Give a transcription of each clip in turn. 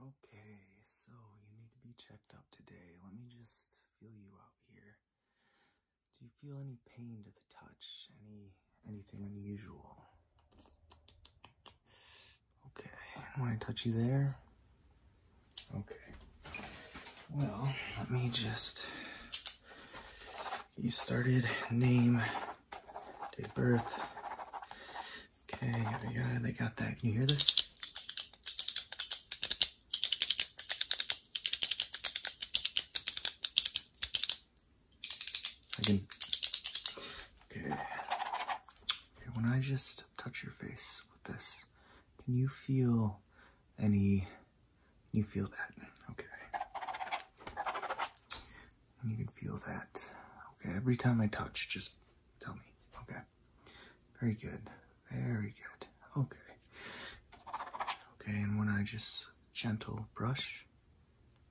Okay, so you need to be checked up today. Let me just feel you out here. Do you feel any pain to the touch? Any anything unusual? Okay, and when I touch you there? Okay. Well, let me just you started, name, date of birth. Okay, I got it. they got that. Can you hear this? I can. Okay. Okay, when I just touch your face with this, can you feel any you feel that, okay? And you can feel that, okay? Every time I touch, just tell me, okay? Very good, very good, okay. Okay, and when I just gentle brush,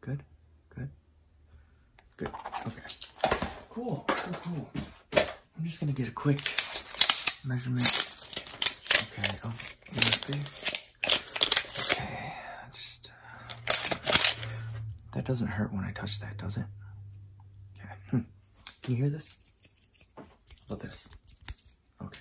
good, good, good, okay. Cool, cool, cool. I'm just gonna get a quick measurement, okay, of oh. Okay, just uh, that doesn't hurt when I touch that, does it? Okay. Hmm. Can you hear this? How about this? Okay.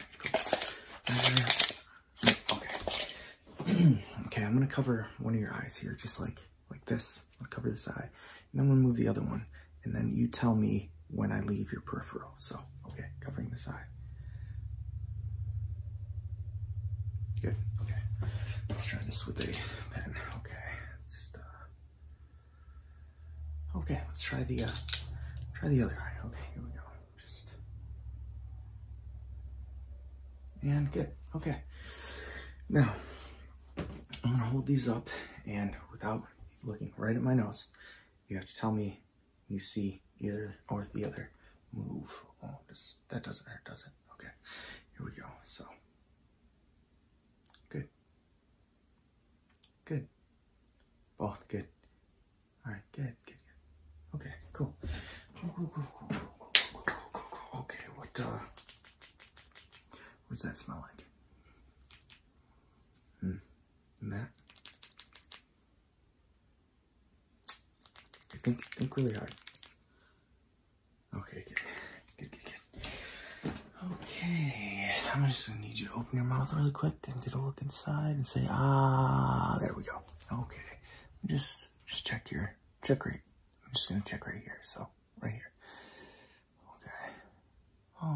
Uh, okay. okay. I'm gonna cover one of your eyes here, just like like this. I'll cover this eye, and I'm gonna move the other one and then you tell me when I leave your peripheral. So, okay, covering this eye. Good, okay. Let's try this with a pen. Okay, let's uh, okay, let's try the, uh, try the other eye. Okay, here we go. Just, and good, okay. Now, I'm gonna hold these up and without looking right at my nose, you have to tell me you see either or the other move. Oh, this, that doesn't hurt, does it? Okay, here we go. So, good. Good. Both good. All right, good, good, good. Okay, cool. Cool, cool, cool, cool, cool, cool, cool, cool, cool. Okay, what, uh, what does that smell like? Hmm than that. Think, think really hard. Okay, good, good, good, good. Okay, I'm just gonna need you to open your mouth really quick and get a look inside and say, ah, there we go. Okay, just, just check your, check right. I'm just gonna check right here. So, right here. Okay.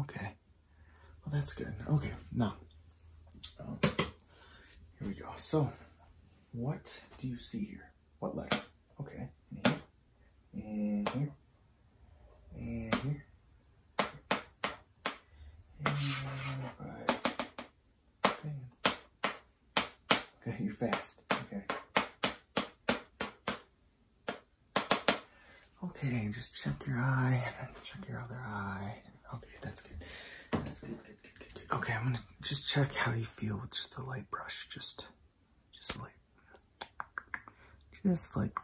Okay. Well, that's good. Okay, now, um, here we go. So, what do you see here? What letter? Okay, and here, and here, uh, and here, Okay, you're fast. Okay. Okay, just check your eye check your other eye. Okay, that's good. That's good, good, good, good, Okay, I'm gonna just check how you feel with just a light brush. Just, just light. Just like,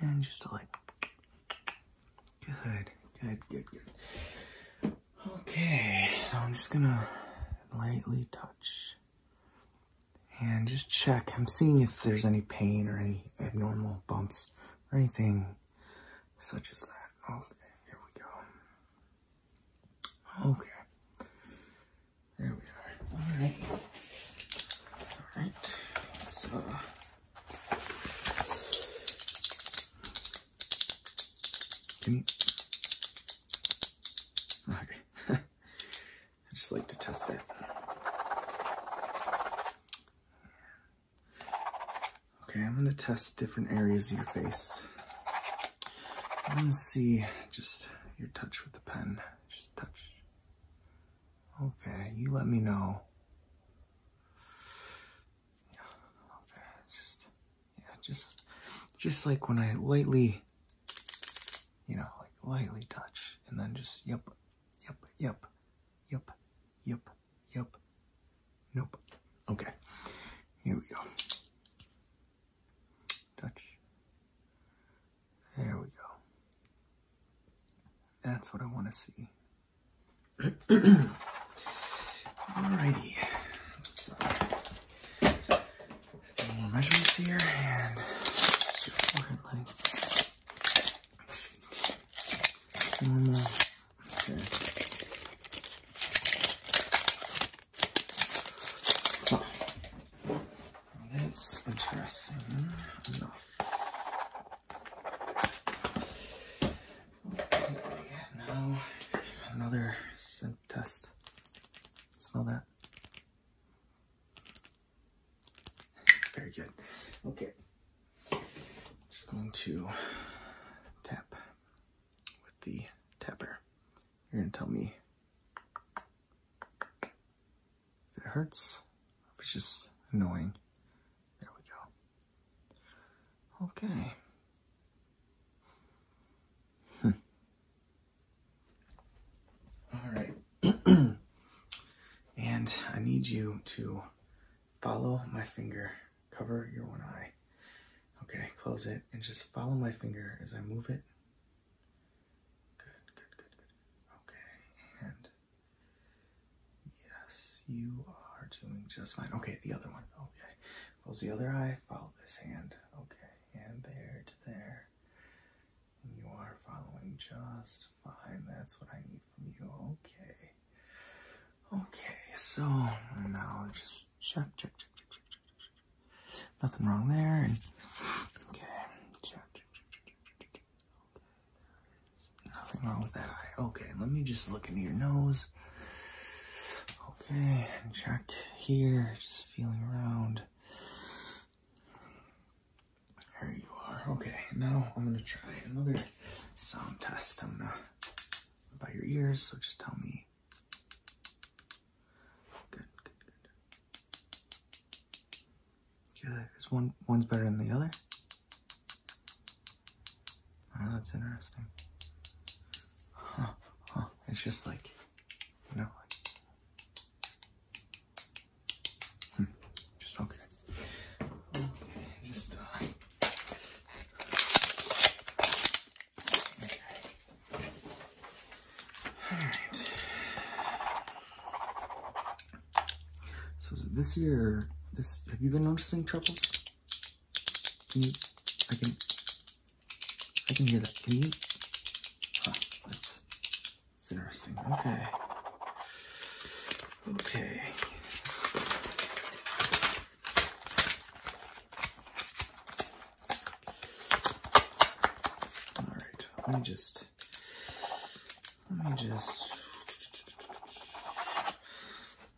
and just like. Good, good, good, good. Okay, now I'm just gonna lightly touch and just check. I'm seeing if there's any pain or any abnormal bumps or anything such as that. Okay, oh, here we go. Okay. There we are. All right. All right. Let's, uh, I just like to test it. Okay, I'm gonna test different areas of your face. I'm see just your touch with the pen. Just touch. Okay, you let me know. yeah, just just like when I lightly you know, like lightly touch, and then just yep, yep, yep, yep, yep, yep, nope. Okay, here we go. Touch. There we go. That's what I want to see. Alrighty more measurements here and your forehead that's interesting enough. Okay, now another scent test. Smell that. Very good. Okay. Just going to tap with the tapper. You're going to tell me if it hurts, if it's just annoying. There we go. Okay. Hmm. All right. and I need you to follow my finger. Cover your one eye. Okay, close it and just follow my finger as I move it. Good, good, good, good. Okay, and yes, you are doing just fine. Okay, the other one. Okay, close the other eye, follow this hand. Okay, and there to there. And you are following just fine. That's what I need from you. Okay. Okay, so now just check, check, check, check, check, check, check. Nothing wrong there. And okay, check, check, check, check, check, check. Okay, there is nothing wrong with that eye. Okay, let me just look into your nose this. Okay, and check here, just feeling around. There you are. Okay, now I'm gonna try another sound test. I'm gonna about your ears, so just tell me. Good, good, good. Good. Is one one's better than the other? Wow, ah, that's interesting. It's just like, you know, like, hmm, just okay. just, uh, Alright. So this year, this, have you been noticing troubles? I can, I can hear that. Can you? Huh, that's, interesting. Okay. Okay. All right. Let me just. Let me just.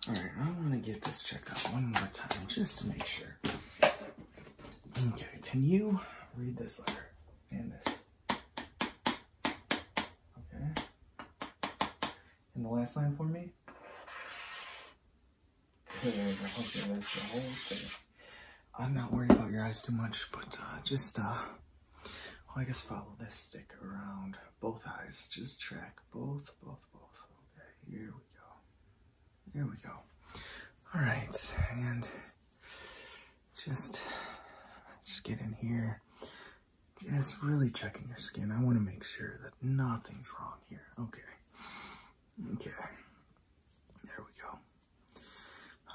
All right, I want to get this checked out one more time just to make sure. Okay, can you read this letter and this? Okay. And the last line for me? Okay, that's the whole thing. I'm not worried about your eyes too much, but uh, just, uh, well, I guess follow this stick around both eyes. Just track both, both, both. Okay, here go. There we go. All right, and just just get in here. Just really checking your skin. I want to make sure that nothing's wrong here. Okay. Okay. There we go.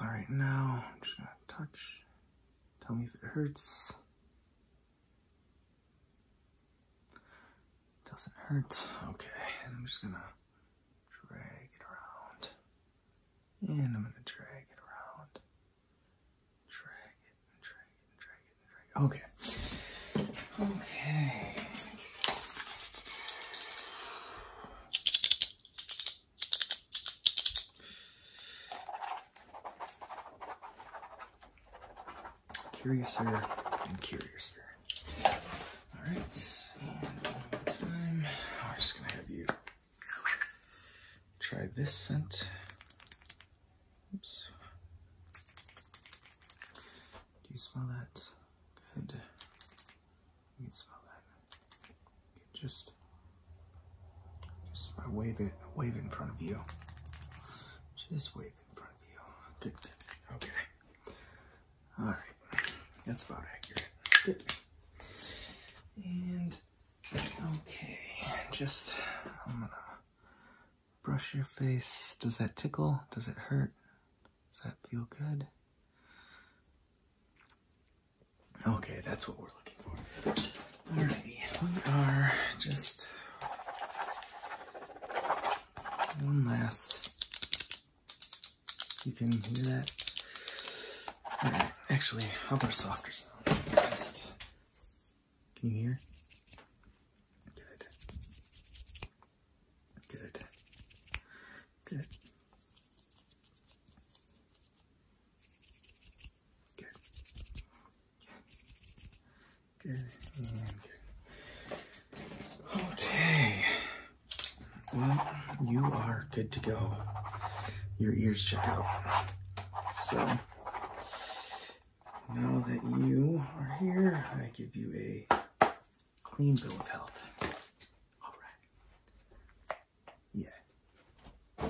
All right, now I'm just gonna touch. Tell me if it hurts. Doesn't hurt. Okay, I'm just gonna drag it around. And I'm gonna drag it around. Drag it drag it drag it drag it. Okay. Okay curiouser and curiouser. All right, and one more time. I'm just gonna have you try this scent. Oops. Do you smell that? Good. You can smell that. You just, just wave it, wave it in front of you. Just wave. Okay. All right. That's about accurate. And okay, just I'm gonna brush your face. Does that tickle? Does it hurt? Does that feel good? Okay, that's what we're looking for. All right, we are just one last. You can hear that. Actually, I'll put a softer sound? can you hear? Good. Good. Good. Good okay. Well, you are good to go. Your ears check out. So, now that you are here, I give you a clean bill of health. All right. Yeah.